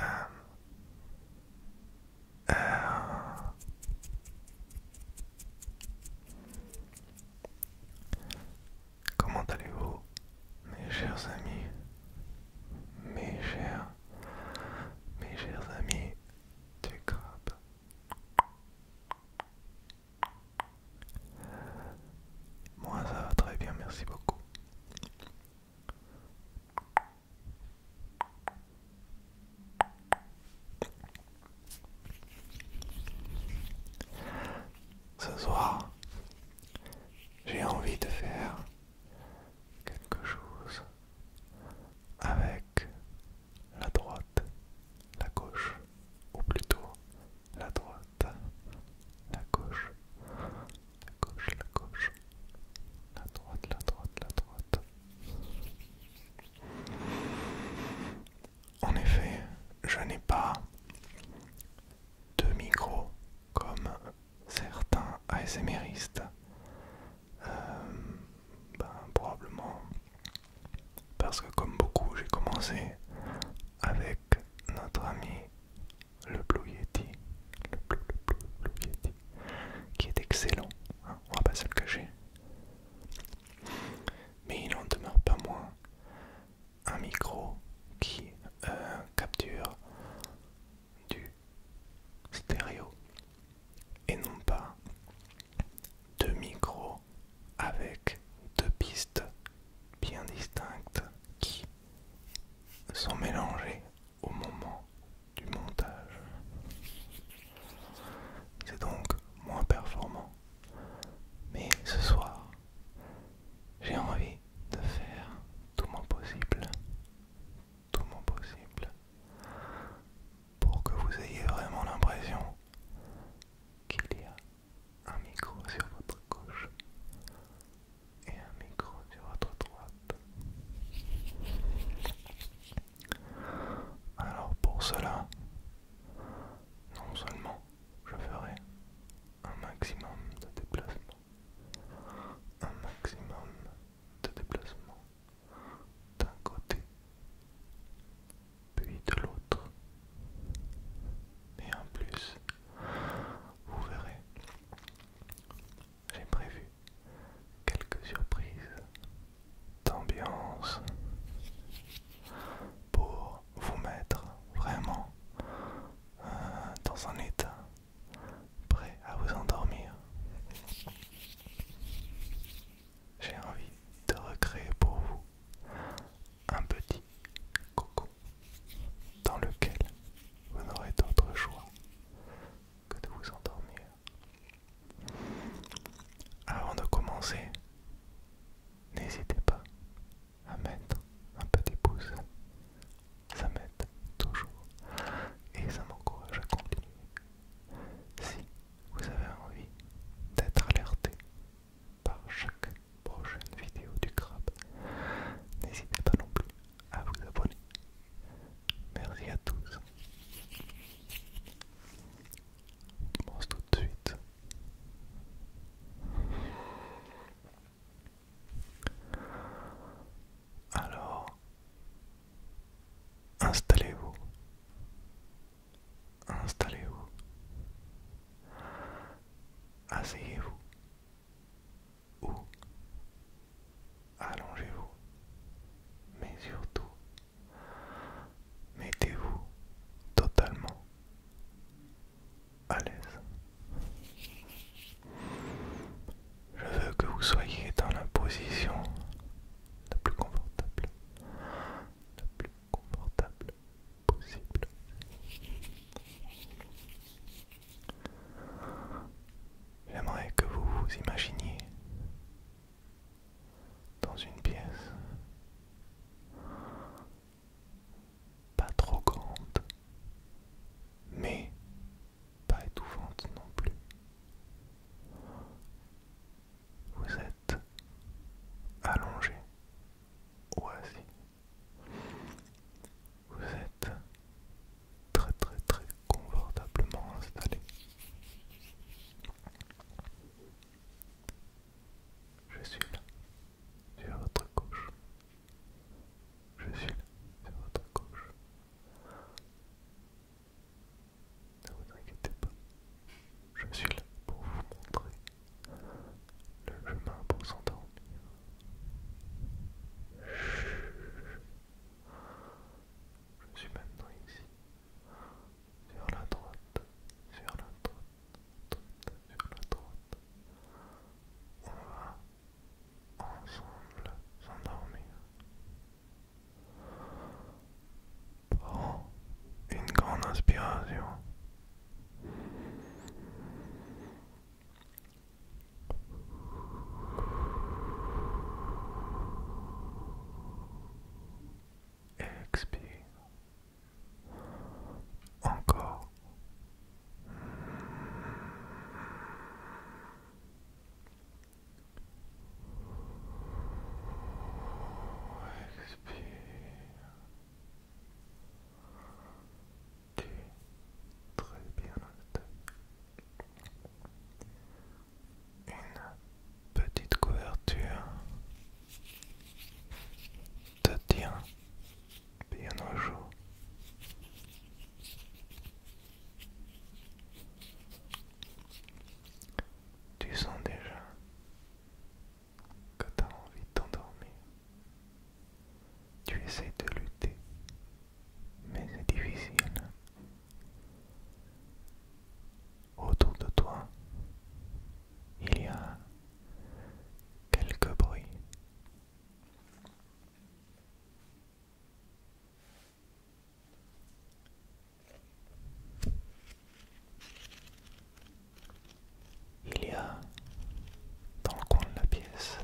Euh, euh, comment allez-vous, mes chers amis, mes chers, mes chers amis du crabe? Moi ça va très bien, merci beaucoup. Ce soir, j'ai envie de faire quelque chose avec la droite, la gauche, ou plutôt la droite, la gauche, la gauche, la gauche, la droite, la droite, la droite. En effet, je n'ai pas de micro comme certains ASMRistes. Euh, ben, probablement parce que comme beaucoup j'ai commencé avec notre ami le Blue Yeti, le qui est excellent, hein, on va pas se le cacher. Mais il en demeure pas moins un micro qui euh, capture du stéréo et non pas deux micros avec deux pistes bien distinctes qui sont mélangées au moment du montage. C'est donc moins performant. Mais ce soir, j'ai envie de faire tout mon possible, tout mon possible, pour que vous ayez vraiment l'impression qu'il y a un micro sur votre gauche et un micro sur votre droite. Alors pour cela, non seulement je ferai un maximum de déplacements, un maximum de déplacement d'un côté puis de l'autre. Et en plus, vous verrez j'ai prévu quelques surprises d'ambiance pour vous mettre vraiment euh, dans un état prêt à vous endormir. J'ai envie de recréer pour vous un petit coco dans lequel vous n'aurez d'autre choix que de vous endormir. Avant de commencer, n'hésitez pas à mettre un petit pouce. Ça m'aide toujours et ça m'encourage à continuer. Si vous avez envie d'être alerté par chaque prochaine vidéo du crabe. N'hésitez pas non plus à vous abonner. Merci à tous. On commence tout de suite. Alors, installez-vous. Installez-vous. Asseyez-vous ou allongez-vous, mais surtout mettez-vous totalement à l'aise. Je veux que vous soyez dans la position la plus confortable, la plus confortable possible. J'aimerais que vous vous imaginiez dans une pièce pas trop grande, mais pas étouffante non plus. Vous êtes allongé ou assis vous êtes très très très confortablement installé. Je suis là, sur votre gauche. Je suis là, sur votre gauche. Ne vous inquiétez pas, je suis là pour vous montrer le chemin pour s'endormir. Je suis maintenant ici, sur la droite, sur la droite, sur la droite. On va ensemble s'endormir. Prends une grande inspiration. Expire. Encore. Expire tu très bien en Une petite couverture te tient bien au jour. Tu sens déjà quand tu as envie de t'endormir. Tu essaies de lutter, mais c'est difficile. Autour de toi, il y a quelques bruits. Il y a dans le coin de la pièce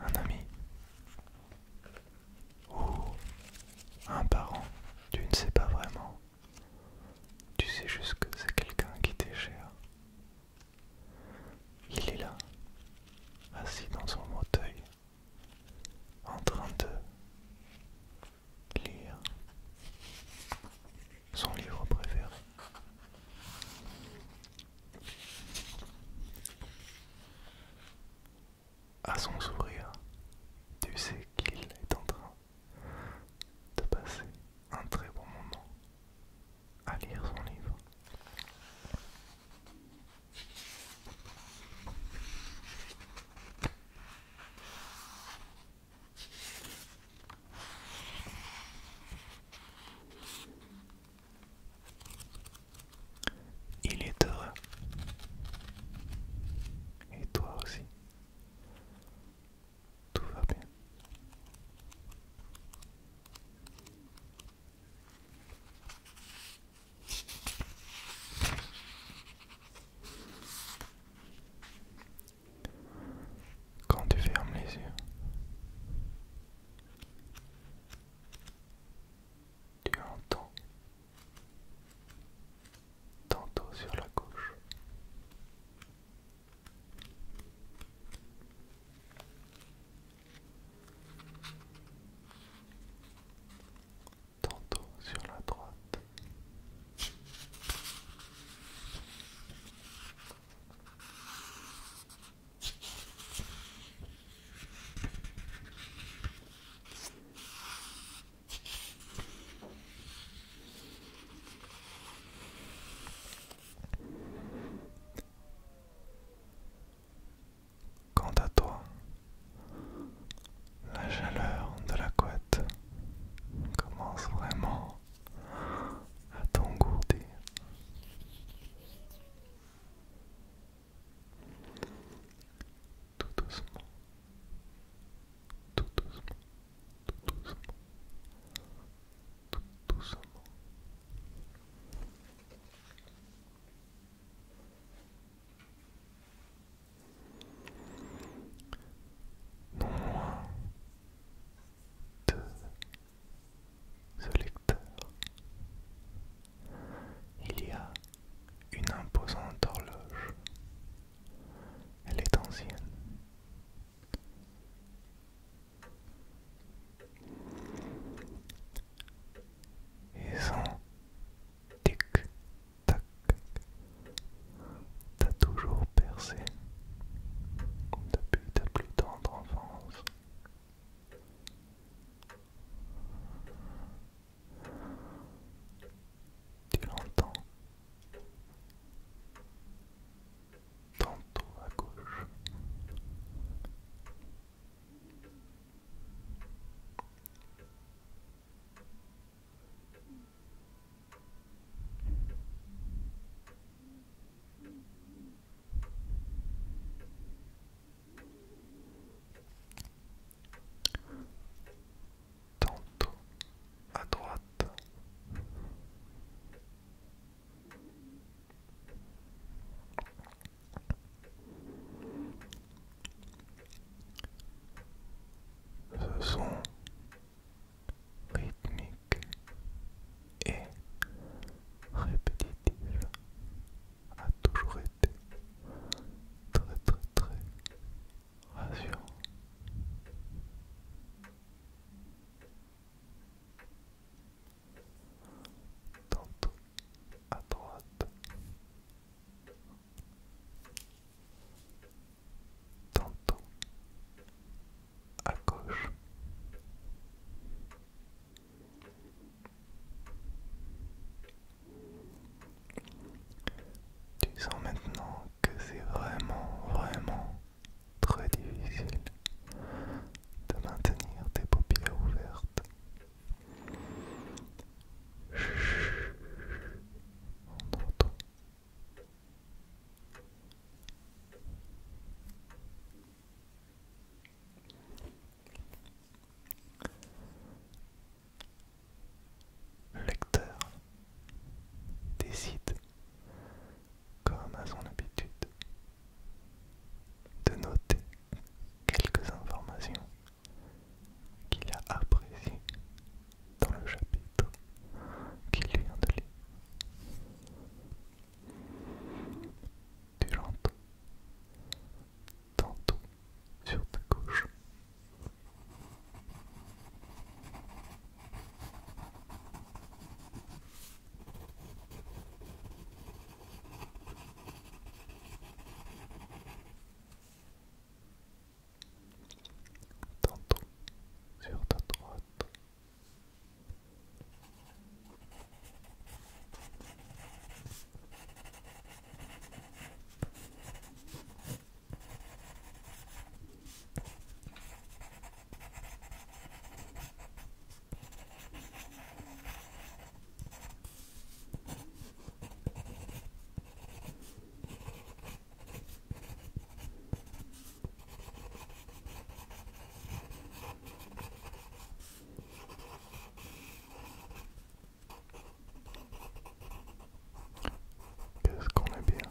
un ami ou un parent, tu ne sais pas vraiment. Tu sais juste que c'est quelqu'un qui t'est cher. Il est là, assis dans son fauteuil, en train de lire son livre préféré. À son sourire, tu sais qu'il est en train de passer un très bon moment à lire son livre. Il est heureux. Et toi aussi. Tout va bien quand tu fermes les yeux. Tu entends tantôt sur la gauche, tantôt sur la droite. Quant à toi, la chaleur de la couette Commence vraiment à t'engourdir. Tout doucement, tout doucement, tout doucement, tout doucement non moins ce lecteur. Il y a une imposante horloge. Elle est ancienne. Et sans Tic, tac. T'as toujours percé depuis ta plus tendre enfance. Tu l'entends tantôt à gauche, Tantôt à droite. Ce son rythmique et répétitif a toujours été très très très rassurant. à droite, tantôt à gauche. Tu sens maintenant que c'est vraiment, vraiment très difficile de maintenir tes paupières ouvertes le lecteur décide, comme à son habitude, de noter quelques informations qu'il a apprécié dans le chapitre qu'il vient de lire. Tu tantôt sur ta gauche tantôt sur ta droite. Qu'est-ce qu'on est bien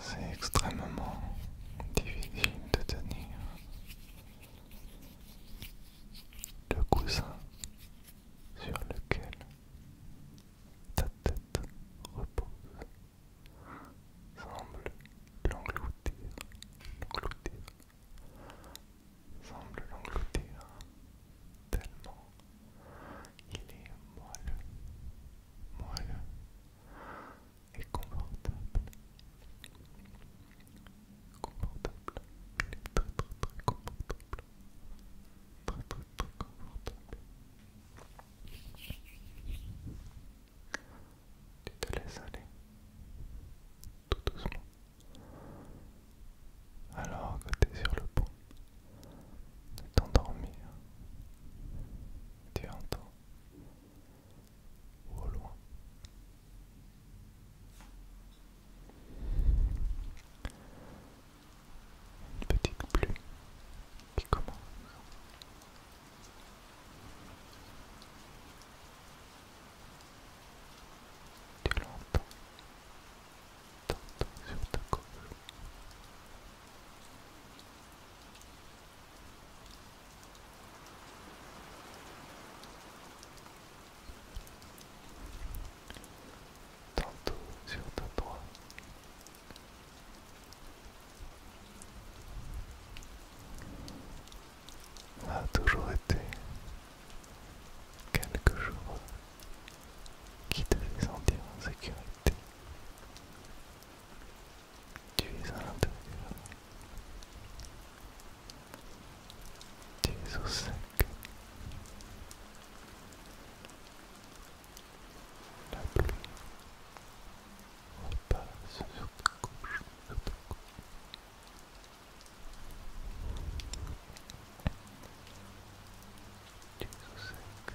C'est extrêmement difficile de tenir le coussin sur lequel ta tête repose semble l'engloutir, l'engloutir, semble l'engloutir tellement il est moelleux, moelleux, et confortable. Confortable. Il est très très très confortable. Très très très confortable. Tu te laisses aller tout doucement. Alors que tu es sur le pont de t'endormir, tu entends une petite pluie qui commence. Tu l'entends, t'entends sur ta gauche, Tantôt sur ta droite. A toujours été quelque chose qui te fait sentir en sécurité tu es à l'intérieur. Tu es au sec. La pluie repasse sur ta couche, sur ta cou. Tu es au sec.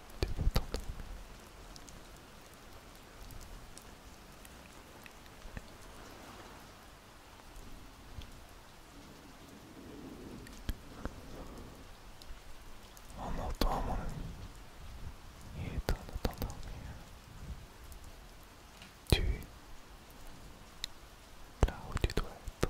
Tu vas t'endormir. On entend mon ami. Il est temps de t'endormir. Tu es là où tu dois être.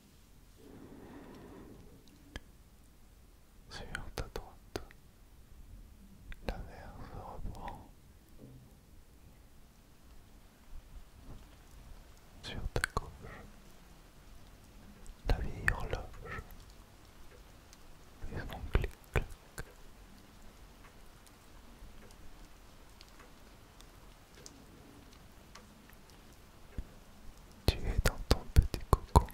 Sur ta droite, la mer se reprend. Sur ta gauche, la vieille horloge fait son clic tu es dans ton petit coco.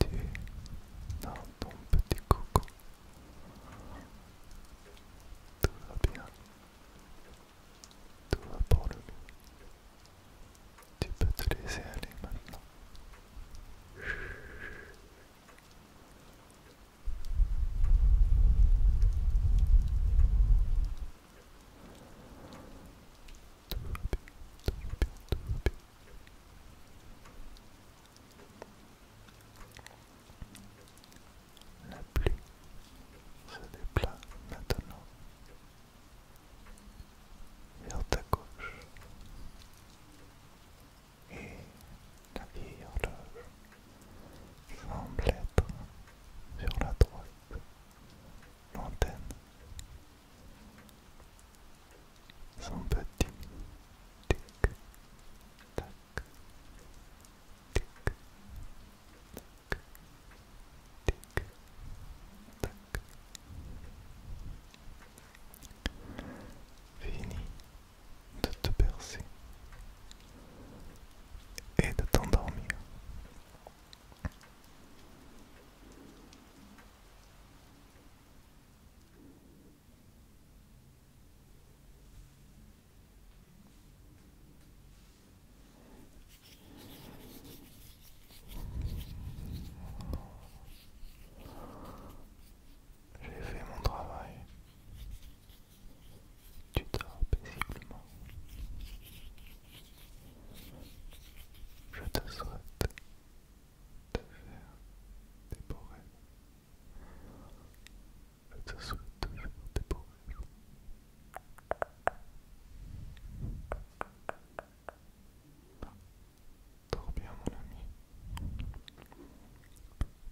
Tu es dans ton petit coco. Tout va bien. Tout va pour le mieux. Tu peux te laisser aller maintenant. La pluie se déplace maintenant vers ta gauche et la vieille horloge semble être sur la droite, l'antenne. Son petit tic tac tic tac tic tac fini de te percer et de t'endormir. J'ai fait mon travail. Tu dors paisiblement. Je te souhaite de faire des beaux rêves. Je te souhaite de faire des beaux rêves. Dors bien mon ami.